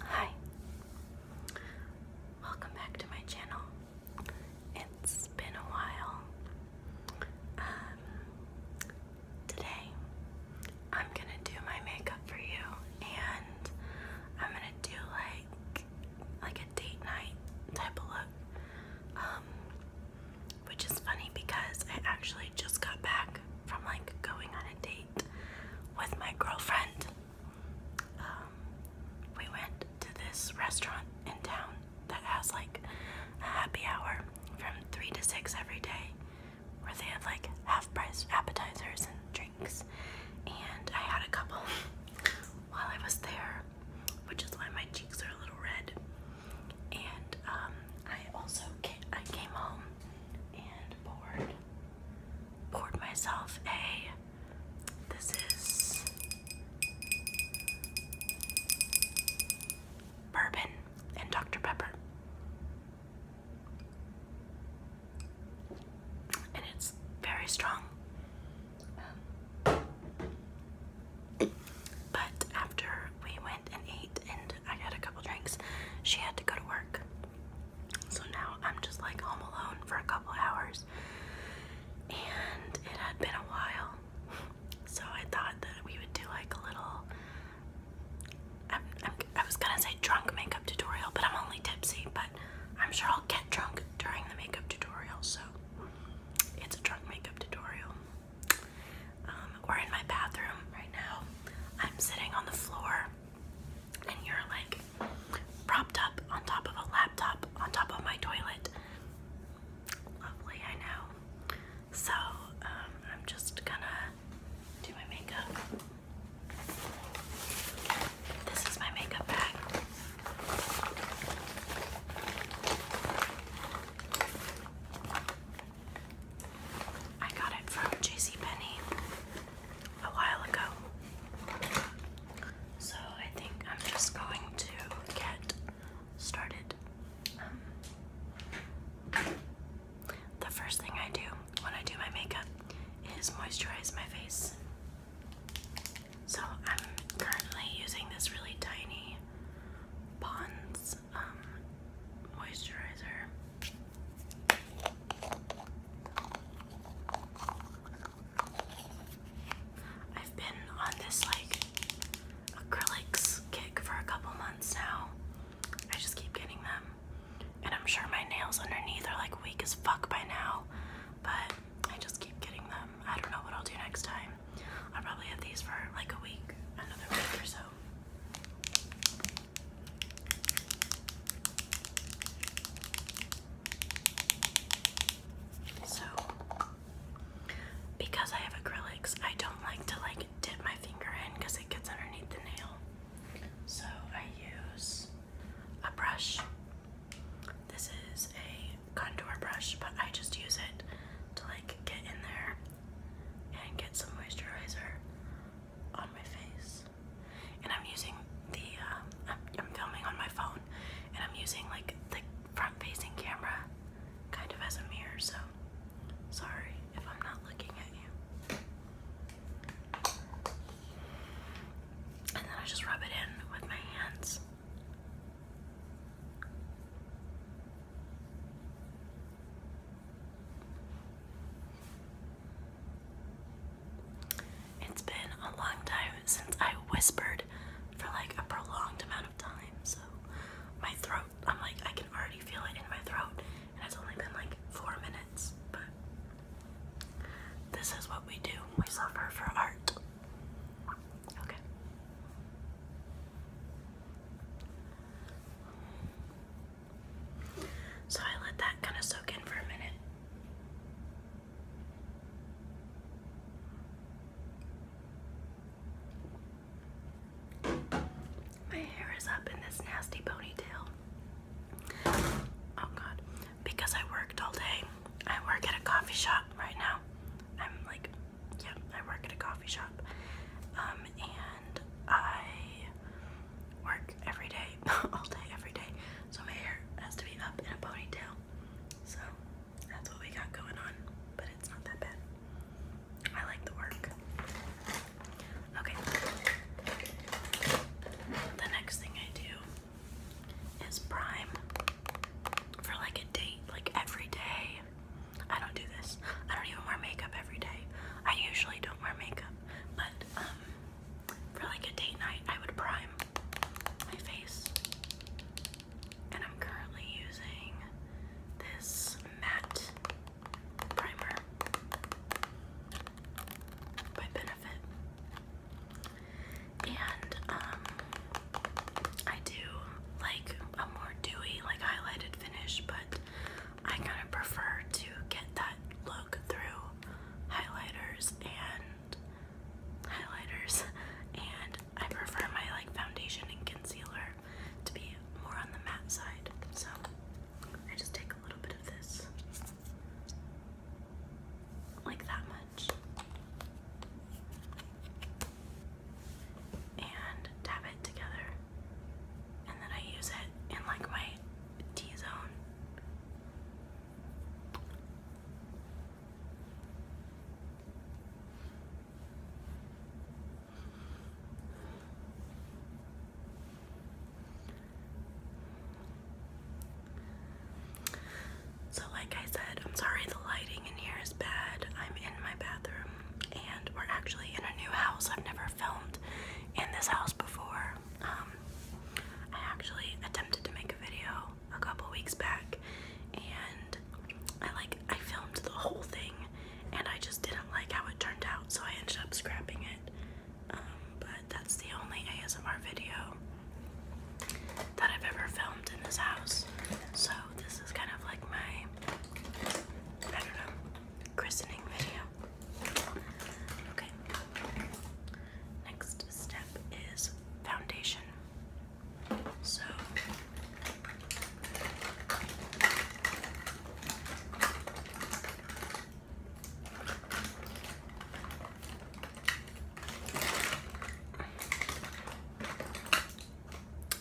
Hi, welcome back to my channel. It's been a while. Um, today, I'm gonna do my makeup for you, and I'm gonna do like like a date night type of look. Um, which is funny because I actually just got back back from like going on a date with my girlfriend. Um, we went to this restaurant in town that has like a happy hour from 3 to 6 every day where they have like half price appetizers and drinks. And I had a couple while I was there, which is why my cheeks are a little red. And um, I also came, I came home and bored poured myself a. This is bourbon and Dr. Pepper. And it's very strong. Um, but after we went and ate and I had a couple drinks. She had to go to work. So now I'm just like home alone for a couple hours. And it had been a while. So I thought that we would do like a little. I'm, was gonna say drunk makeup tutorial, but I'm only tipsy, but I'm sure I'll get drunk during the makeup tutorial, so it's a drunk makeup tutorial. Um, we're in my bathroom right now. I'm sitting on the floor and you're like propped up on top of a laptop on top of my toilet. Lovely, I know. So, um, I'm just gonna do my makeup. This is my makeup bag. I got it from JCPenney a while ago. So I think I'm just going to get started. Um, the first thing I do when I do my makeup is moisturize my face. So I'm currently using this really tiny Pond's um, moisturizer. I've been on this like acrylics kick for a couple months now. I just keep getting them. And I'm sure my nails underneath are like weak as fuck by now, but I just keep getting them. I don't know what I'll do next time. I'll probably have these for like a week, another week or so. So, because I have acrylics, I don't like to like dip my finger in because it gets underneath the nail. So, I use a brush. This is a contour brush, but I just use it to like get in there and get some moisturizer on my face and I'm using the uh, I'm filming on my phone, and I'm using like the front-facing camera, kind of as a mirror. So sorry if I'm not looking at you. And then I just rub it in with my hands. It's been a long time since I whispered for like a prolonged amount of time, so my throat, I'm like, I can already feel it in my throat, and it's only been like four minutes, but this is what we do. We suffer for art. Okay. So I let that kind of soak in for a minute. My hair is up in this nasty ponytail. Oh god. Because I worked all day. I work at a coffee shop right now. I'm like, yeah, I work at a coffee shop. Um, and I work every day, all day, every day. So my hair has to be up in a ponytail. So that's what we got going on, but it's not that bad. I like the work. Okay. The next thing I do is prime for like a date, like every day. I don't do this. I don't even wear makeup every day. I usually don't wear makeup, but um for like a date night, I would prime my face. And I'm currently using this matte primer by Benefit. And um, I do like a more dewy, like highlighted finish, but I kind of prefer to get that look through highlighters and highlighters and I prefer my like foundation and concealer to be more on the matte side. So I just take a little bit of this. Like that much. And dab it together and then I use it in like my T zone. So, like I said, I'm sorry the lighting in here is bad. I'm in my bathroom and we're actually in a new house. I've never filmed in this house before. Um, I actually attempted to make a video a couple weeks back and I like I filmed the whole thing and I just didn't like how it turned out so I ended up scrapping it. Um, but that's the only ASMR video that I've ever filmed in this house. So this is kind of like my I don't know christening video. Okay. Next step is foundation. So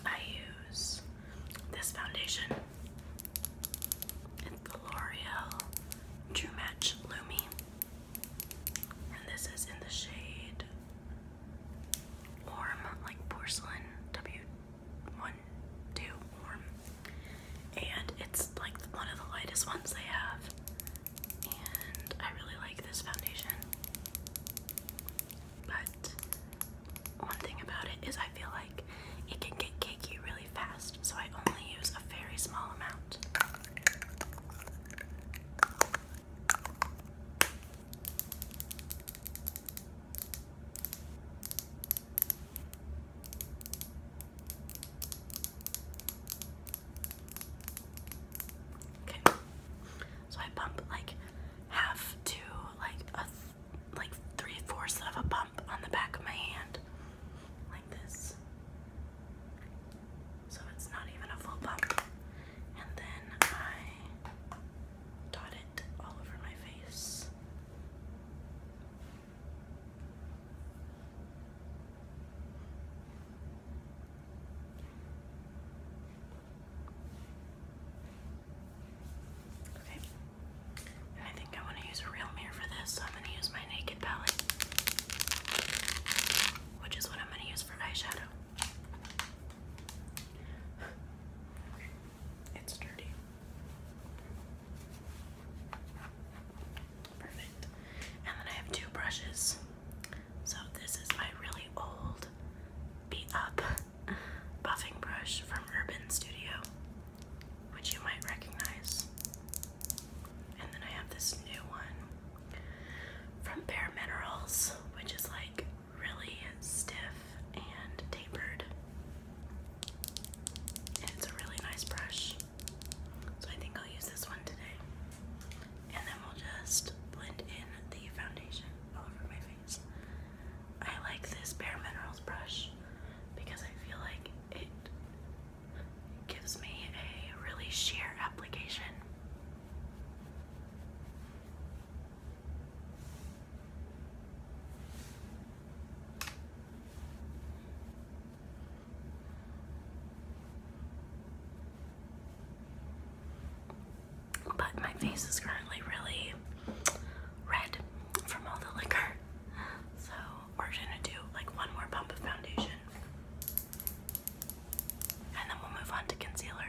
I use this foundation it's the L'Oreal True Match Lumi. And this is in the shade Warm, like porcelain, W12 Warm. And it's like one of the lightest ones they have. And I really like this foundation. But one thing about it is I feel like it can get cakey really fast, so I only use a very small amount. Okay, so I pump like half to like a like three fourths of a pump on the back of my hand, like this. So it's not even a full bump. And then I dot it all over my face. Okay, I think I want to use a real mirror for this, so I'm going to use my Naked palette, which is what I'm going to use for eyeshadow. It's dirty. Perfect. And then I have two brushes. So this is my really old beat up buffing brush from Urban Studio which you might recognize. And then I have this new one from Bare Minerals, which is like really stiff and tapered. And it's a really nice brush. So I think I'll use this one today. And then we'll just blend in the foundation all over my face. I like this Bare Minerals brush because I feel like it gives me a really sheer application. But my face is currently really red from all the liquor, so we're gonna do like one more pump of foundation. And then we'll move on to concealer.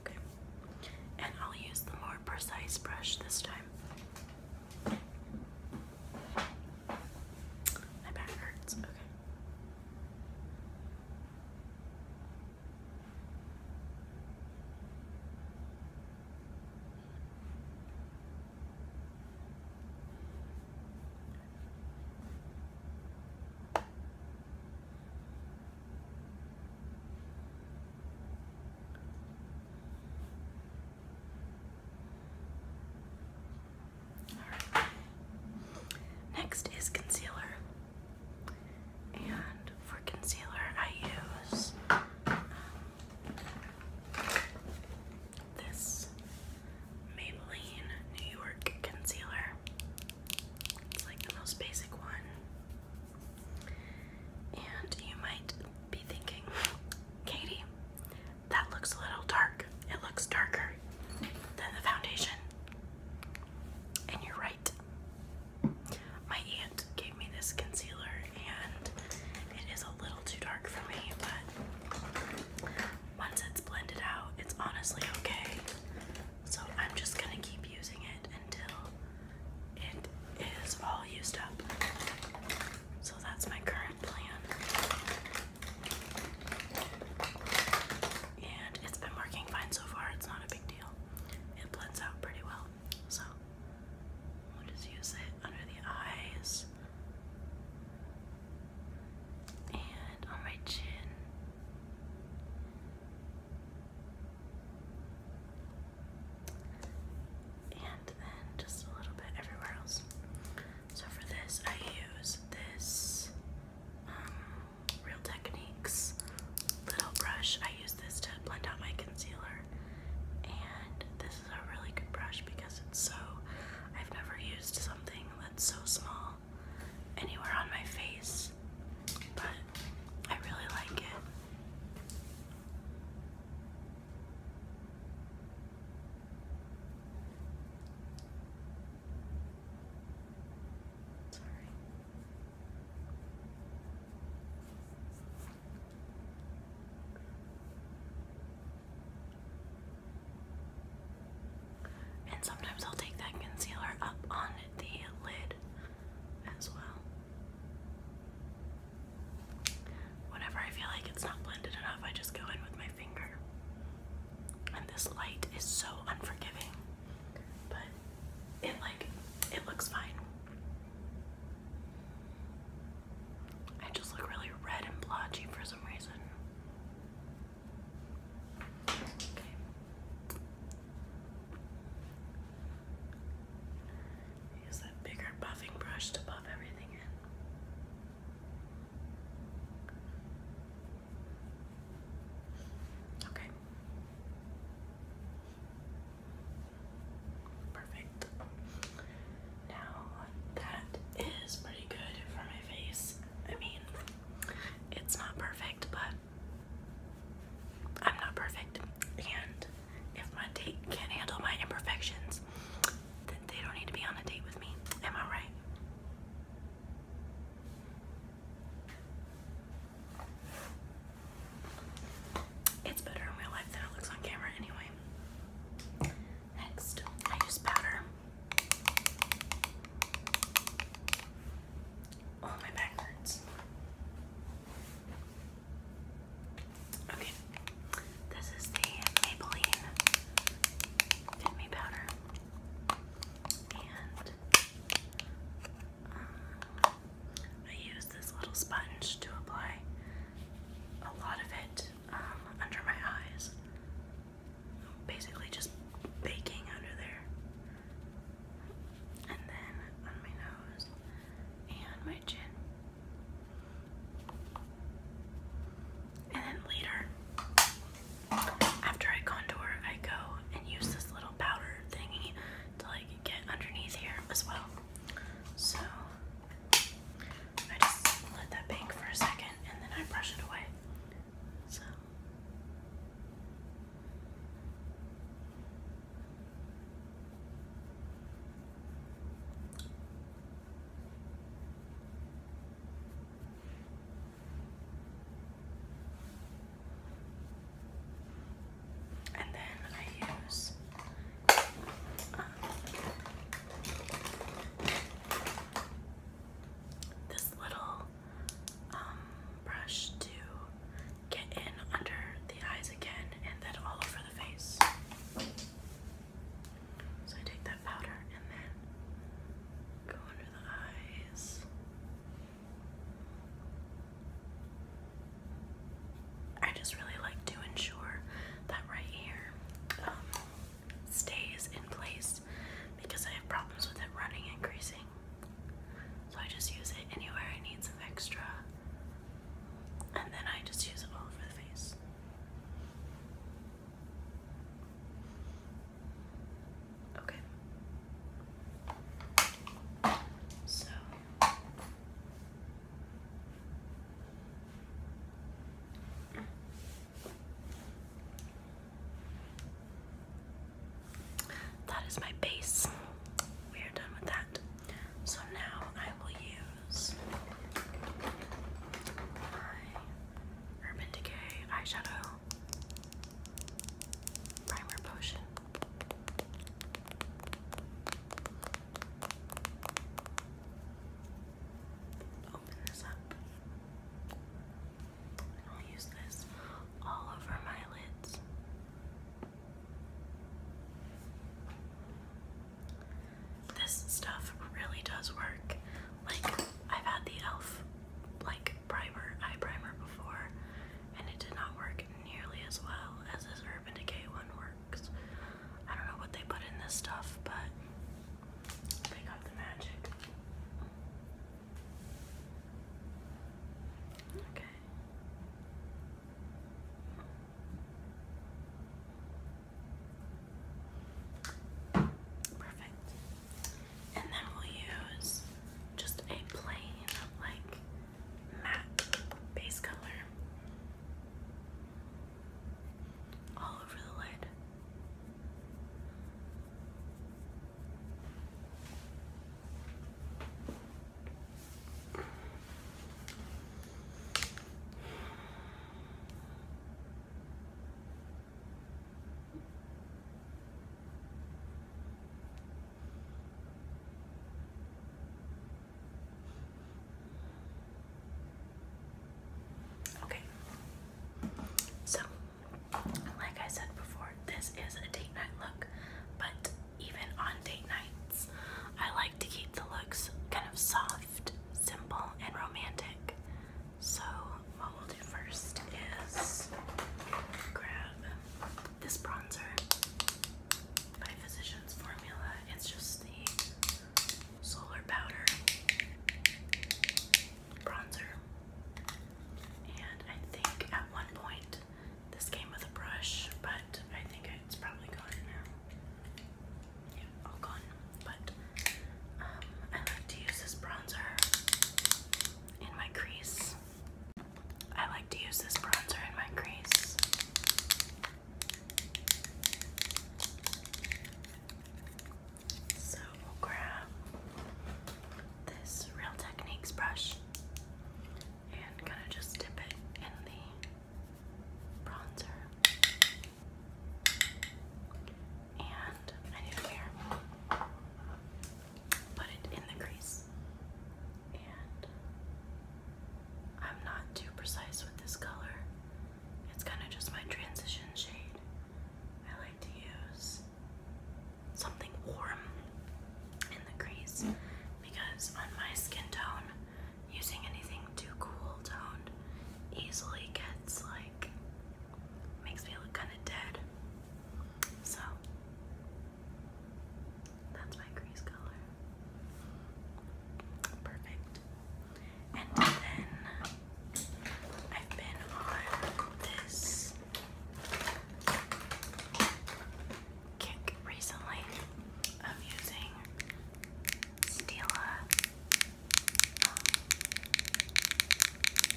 Okay. And I'll use the more precise brush this time. My back hurts. Okay. Next is concealer. And for concealer, I use um, this Maybelline New York concealer. It's like the most basic one. And you might be thinking, Katie, that looks a little dark. It looks darker than the foundation. And you're right. My aunt gave me this concealer, and it is a little too dark for me, but once it's blended out, it's honestly okay. So I'm just gonna keep using until it is all used up. So that's my current plan. And it's been working fine so far, it's not a big deal. It blends out pretty well. So we'll just use it under the eyes and on my chin and then just a little bit everywhere else. So for this, I use this um, Real Techniques little brush. I use this to blend out my concealer, and this is a really good brush because it's so. I've never used something that's so small anywhere on my face, but I really like it. Sorry. And sometimes I'll take that concealer up on the lid as well. Whenever I feel like it's not blended enough, I just go in with my finger. And this light is so unforgiving, but it like it looks fine. I just look really red and blotchy for some reason. Okay. Use that bigger buffing brush to buff everything in. Okay. Perfect. Now that is pretty good for my face. I mean, it's not perfect, but I'm not perfect, and if my date can't handle my imperfections, then they don't need to be on a date with me. Am I right? It's better in real life than it looks on camera anyway. Next, I use powder oh, my back hurts. Okay, this is the Maybelline Fit Powder. And um, I use this little sponge to apply a lot of it um, under my eyes. Basically, just baking under there and then on my nose and my chin. And then later, after I contour, I go and use this little powder thingy to like get underneath here as well. So I just let that bake for a second and then I brush it away. So and then I use um, this little um, brush to get in under the eyes again and then all over the face. So I take that powder and then go under the eyes. I just really like to ensure that right here um, stays in place because I have problems with it running and creasing. So I just use it anywhere I need some extra. And then I just use it all over the face. Okay. So that is my base we are done with that. So now I will use my Urban Decay eyeshadow primer potion. Open this up. And I'll use this all over my lids. This stuff really does work. Like, I've had the e.l.f. like primer, eye primer before, and it did not work nearly as well as this Urban Decay one works. I don't know what they put in this stuff, but they got the magic. Okay. Perfect. And then we'll use just a plain, like, matte base color all over the lid. Okay. So, like I said before, this is a date night look, but even on date nights. I like to keep the looks kind of soft, simple, and romantic. So, what we'll do first is grab this bronzer by Physicians Formula. It's just the solar powder bronzer. And I think at one point this came with a brush, but I think it's probably gone now. all gone. But um, I like to use this bronzer in my crease. I like to use this bronzer in my crease. So we'll grab this Real Techniques brush and kind of just dip it in the bronzer. And I need to wear. Put it in the crease. And I'm not too precise with this color. It's kind of just my transition shade. I like to use something warm in the crease because on my skin tone, using anything too cool toned easily gets like makes me look kind of dead. So that's my crease color. Perfect. And then I've been on this kick recently of using Stila um,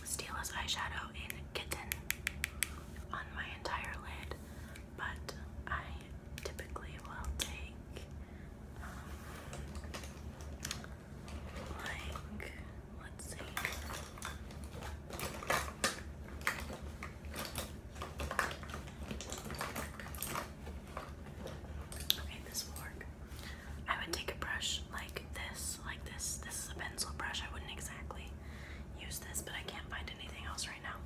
Stila's eyeshadow in Kitten on my entire lid, but I typically will take um, like let's see. Okay, this will work. I would take a brush like this, like this. This is a pencil brush. I wouldn't exactly use this, but I can't find anything else right now.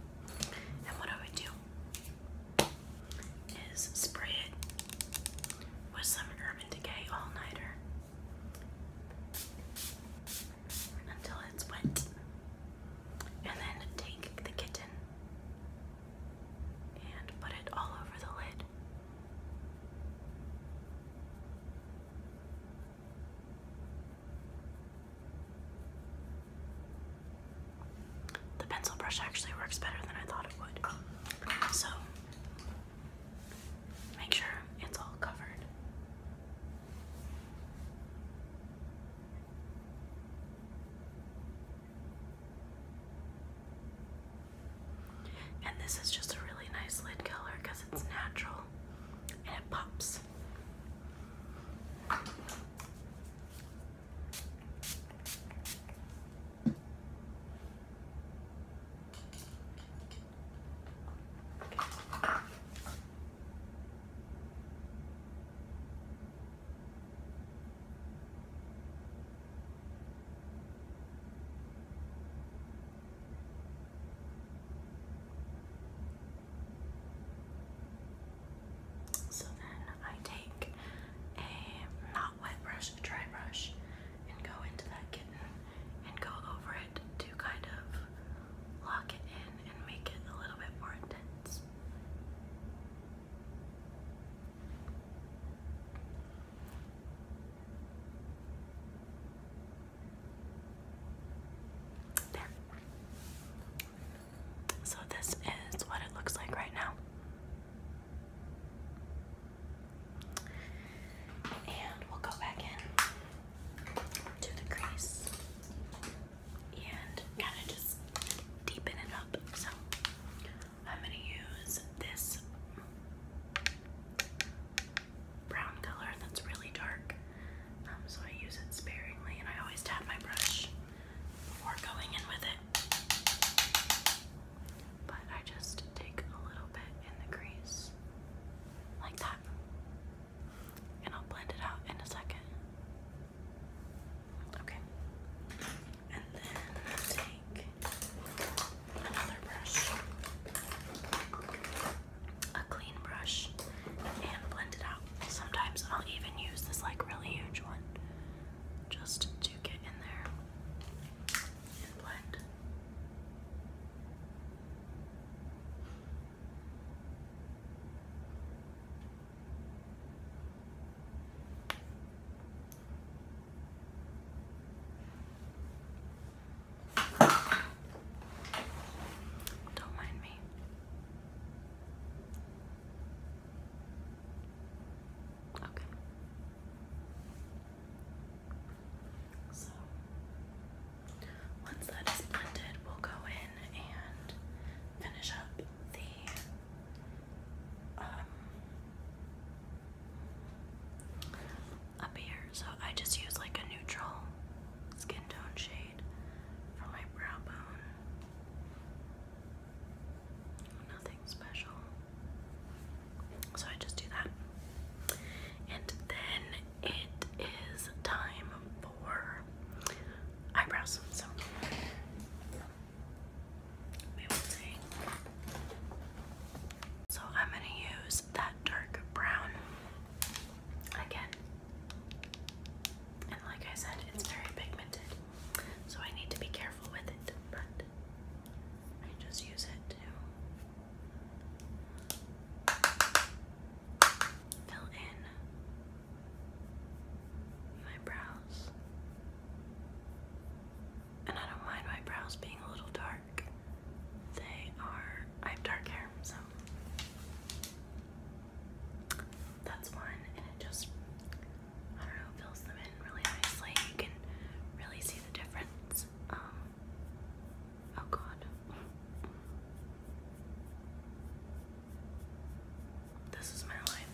And what I would do is spray it with some Urban Decay All Nighter until it's wet and then take the kitten and put it all over the lid. The pencil brush actually works better than I thought it would. So make sure it's all covered. And this is just a really nice lid color because it's natural and it pops. So then I take a not wet brush, a dry brush, and go into that kitten and go over it to kind of lock it in and make it a little bit more intense. So this is what it looks like right now. And we'll go back in to the crease and kind of just deepen it up. So I'm going to use this brown color that's really dark. Um, so I use it sparingly, and I always tap my brush before going in with it. But I just take a little bit in the crease, like that and I'll blend it out in a second. Okay. And then take another brush, a clean brush, and blend it out. Sometimes I'll even use this like really huge one just to get in there and blend. Don't mind me. Okay. So once that is blended, we'll go in and finish up up um, here. So I just use like a neutral skin tone shade for my brow bone. Nothing special. So I just do that. And then it is time eyebrows. So I'm going to use that dark brown again. And like I said, it's very pigmented. So I need to be careful with it, but I just use it fill in my brows. And I don't mind my brows being a little dark. They are, I have dark hair, so that's one, and it just, I don't know, fills them in really nicely. You can really see the difference. Um, oh god. This is my life.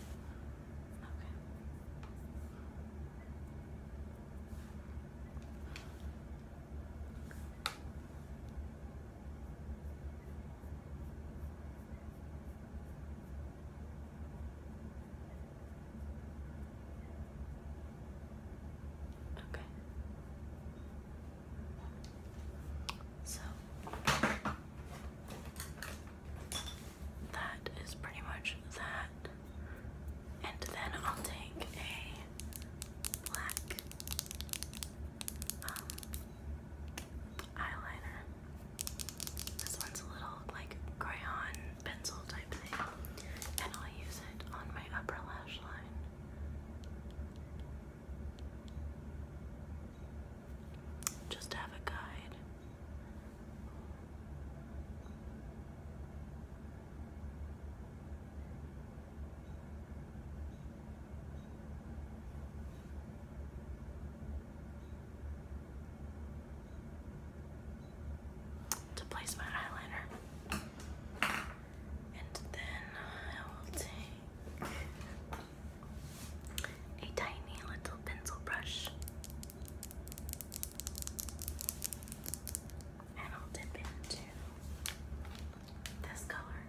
Okay. Okay. So that is pretty much that. And then I'll take a black um, eyeliner. This one's a little like crayon pencil type thing. And I'll use it on my upper lash line. Just have a guide. To place my eyeliner, and then I will take a tiny little pencil brush, and I'll dip into this color,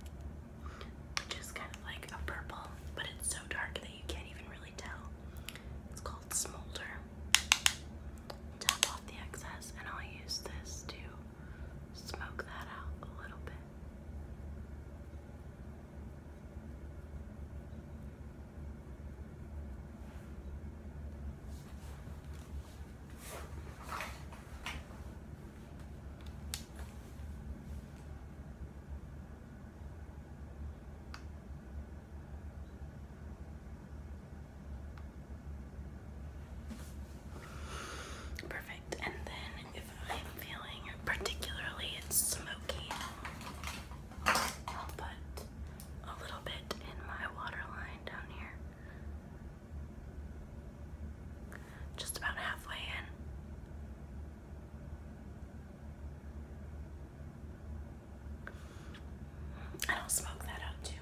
which kind of like a purple, but it's so dark that you can't even really tell. It's called Smolder. Tap off the excess, and I'll use this to smoke that out a little bit. Perfect. And then I'm feeling particularly smoky. I'll put a little bit in my waterline down here. Just about halfway in. And I'll smoke that out too.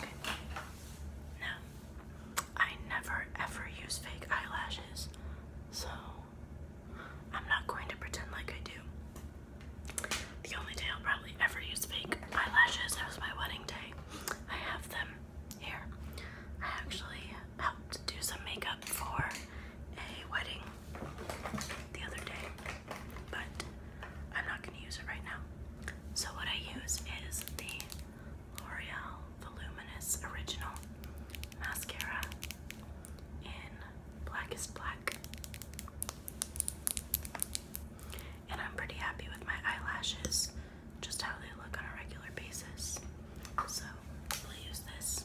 Okay. I never ever use fake eyelashes, so I'm not going to pretend like I do. The only day I'll probably ever use fake eyelashes was my wedding day. I have them here. I actually helped do some makeup for a wedding the other day, but I'm not going to use it right now. So, what I use is the L'Oreal Voluminous Original Mascara in Black Black. And I'm pretty happy with my eyelashes, just how they look on a regular basis. So we'll use this.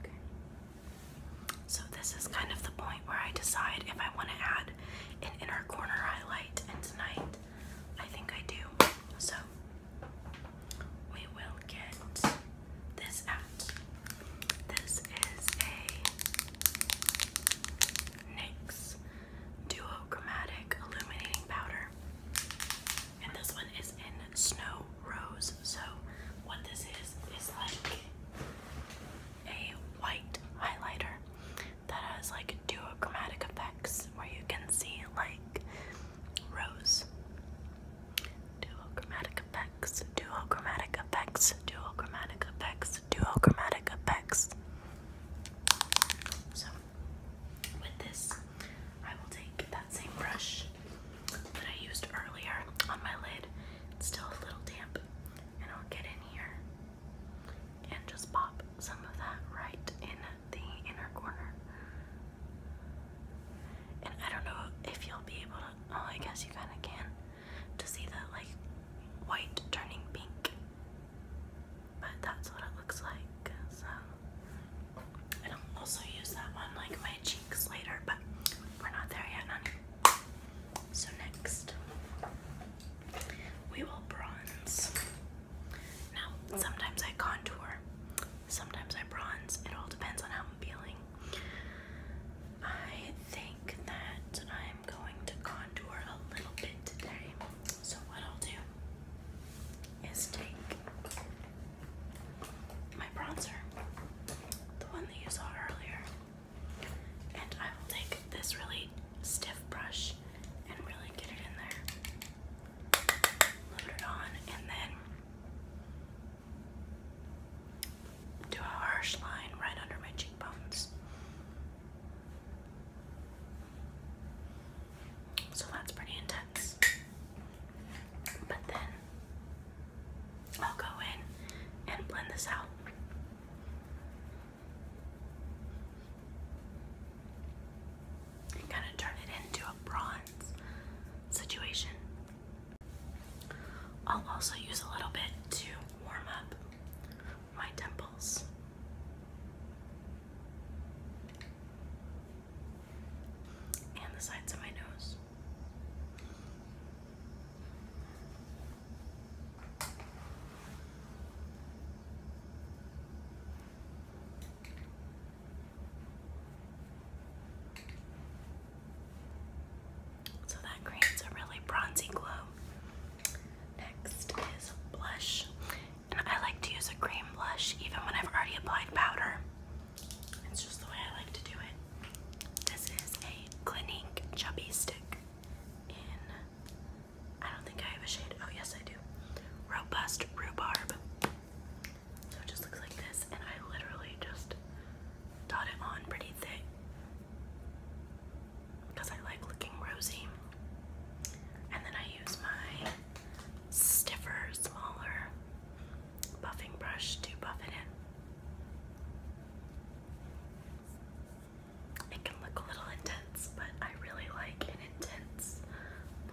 Okay. So this is kind of the point where I decide if I want to add an inner corner highlight, and tonight I think I do. So we will get this out. This is a NYX Duochromatic Illuminating Powder and this one is in Snow Rose. So, what this is is like a white highlighter that has like chromatic effects where you can see like rose. chromatic effects, chromatic effects, duochromatic effects, duochromatic effects. So, with this, I will take that same brush that I used earlier on my lid. It's still a little damp. And I'll get in here and just pop some of that right in the inner corner. And I don't know if you'll be able to, oh, I guess you kind of can, to see that like white turning pink but that's what it looks like. So, and I'll also use that one like my cheeks later, but we're not there yet, So next, we will bronze. Now, sometimes I contour, sometimes I bronze. It all depends on how I'm feeling. I think that I'm going to contour a little bit today. So what I'll do is take my bronzer, the one that you saw earlier. And I will take this really stiff brush and really get it in there. Load it on and then do a harsh line right under my cheekbones. So that's pretty intense. But then I'll go in and blend this out. kind of turn it into a bronze situation. I'll also use a little bit to warm up my temples and the sides of my nose. So that creates a really bronzy glow. Next is blush, I like to use a cream blush even when I've already applied powder. It's just the way I like to do it. This is a Clinique Chubby Stick in, I don't think I have a shade, oh yes I do, Robust Rhubarb. So it just looks like this and I literally just dot it on pretty thick because I like looking rosy. And then I use my stiffer, smaller buffing brush to buff it in. It can look a little intense, but I really like an intense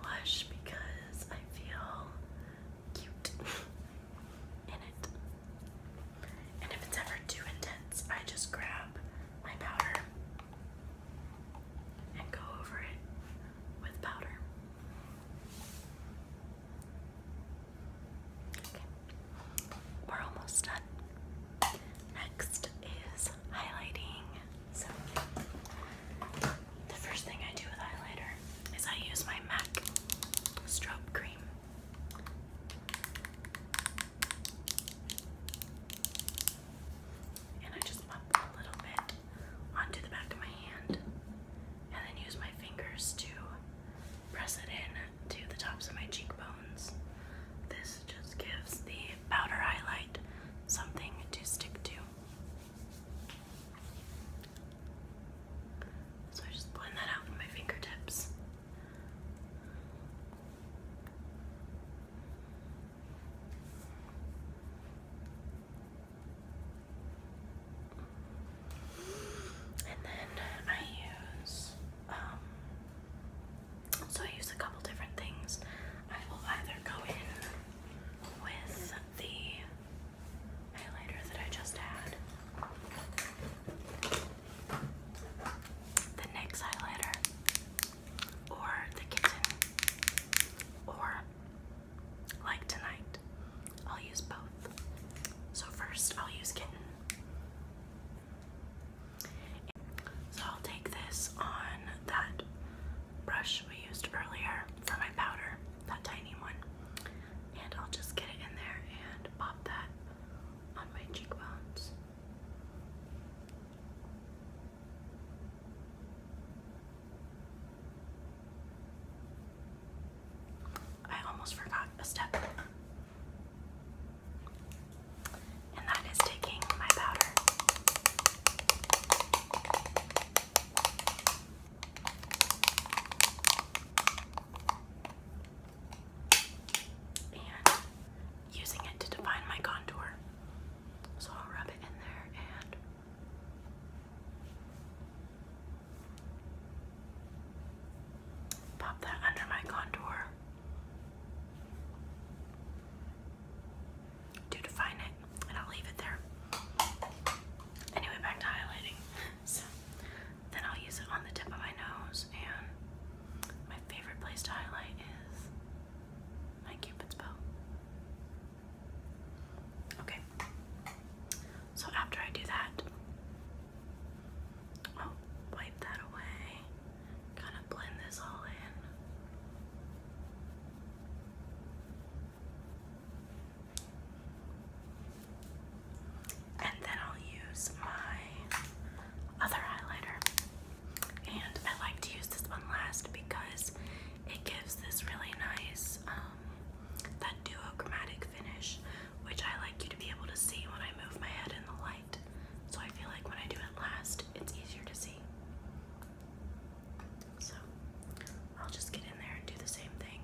blush because I feel cute in it. And if it's ever too intense, I just grab my powder and go over it with powder. we're almost done. Next is highlighting. So, the first thing I do with highlighter is I use my MAC strobe cream. And I just pop a little bit onto the back of my hand and then use my fingers to press it in to the tops of my cheekbones. This just gives the powder highlight something to stick to. So I just blend that out with my fingertips. And then I use, um, so I use a couple different things. I will either go in with the highlighter that I just had, the NYX highlighter, or the kitten, or like tonight, I'll use both. So, first, I'll use kitten. So, I'll take this on that brush we used earlier for my powder, that tiny one, and I'll just get it in there and pop that on my cheekbones. I almost forgot a step. And that is taking my powder. And using it to define my contour. So I'll rub it in there and Pop that under my contour to define it, and I'll leave it there. Anyway, back to highlighting. So then I'll use it on the tip of my nose, and my favorite place to highlight is my Cupid's bow. Okay. So after I do that, I'll wipe that away. Kind of blend this all in. And then I'll use my other highlighter. And I like to use this one last because it gives this really nice, um, that duochromatic finish, which I like you to be able to see when I move my head in the light. So I feel like when I do it last, it's easier to see. So I'll just get in there and do the same thing.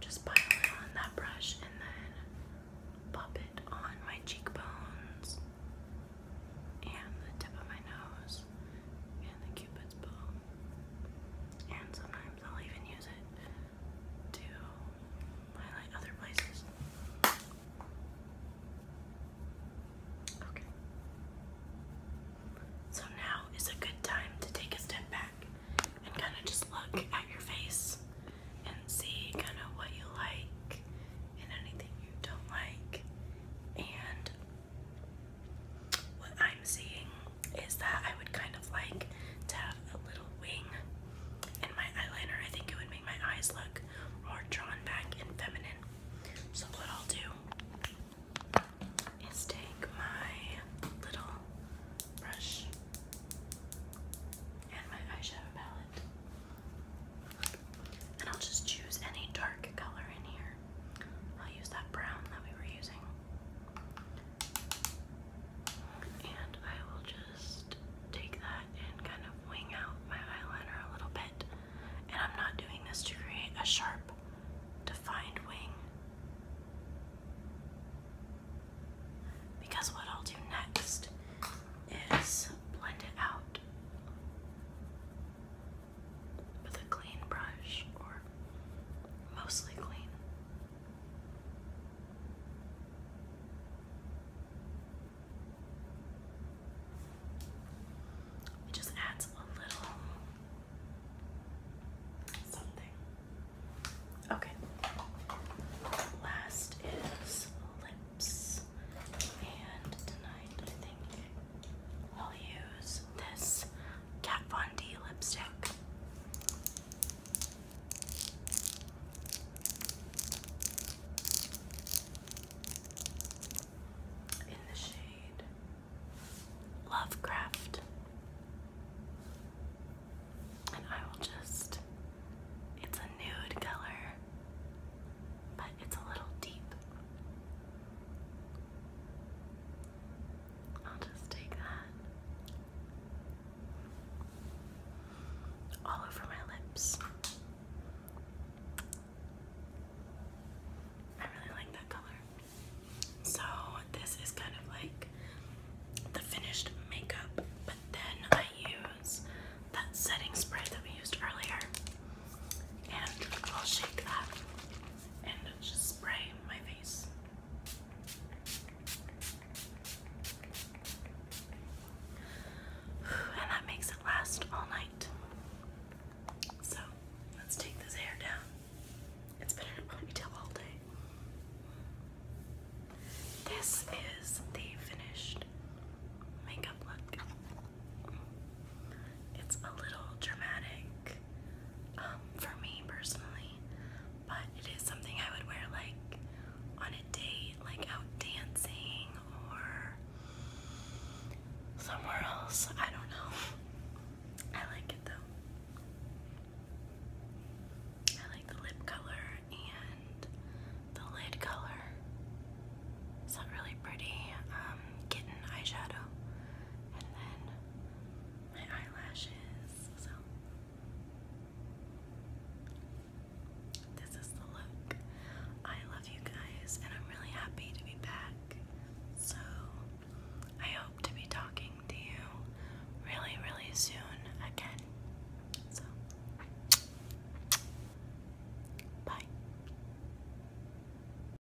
Just pile it on that brush and then pop it on my cheekbones and the tip of my nose and the cupid's bow. And sometimes I'll even use it to highlight other places. Okay. So now is a good time to take a step back and kind of just look at your face and see kind of what you like and anything you don't like and what I'm seeing is that I would kind of like to have a little wing in my eyeliner. I think it would make my eyes look more drawn back and feminine. So, what I'll do is take my little brush and my eyeshadow palette, and I'll just choose any dark color in here. I'll use that brown that we were using. And I will just take that and kind of wing out my eyeliner a little bit. And I'm not doing this to create a sharp, defined wing. Because what I'll do next is blend it out with a clean brush or mostly clean. It just adds a little something. Okay. Last is lips. And tonight i will use this Kat Von D lipstick. In the shade Lovecraft. And I will just, it's a nude color, but it's a little deep. I'll just take that all over my lips. I really like that color. So, this is kind of like the finished makeup, but then I use that setting spray that we used earlier, and I'll shake that and just spray my face. And that makes it last all night. So let's take this hair down. It's been in a ponytail all day. This is the finished makeup look. It's a little dramatic um, for me personally, but it is something I would wear like on a date, like out dancing or somewhere else. I don't know. I like it though. I like the lip color and the lid color. It's not really pretty. Um, kitten eyeshadow and then my eyelashes. So this is the look. I love you guys and I'm really happy to be back. So I hope to be talking to you really, really soon again. So bye.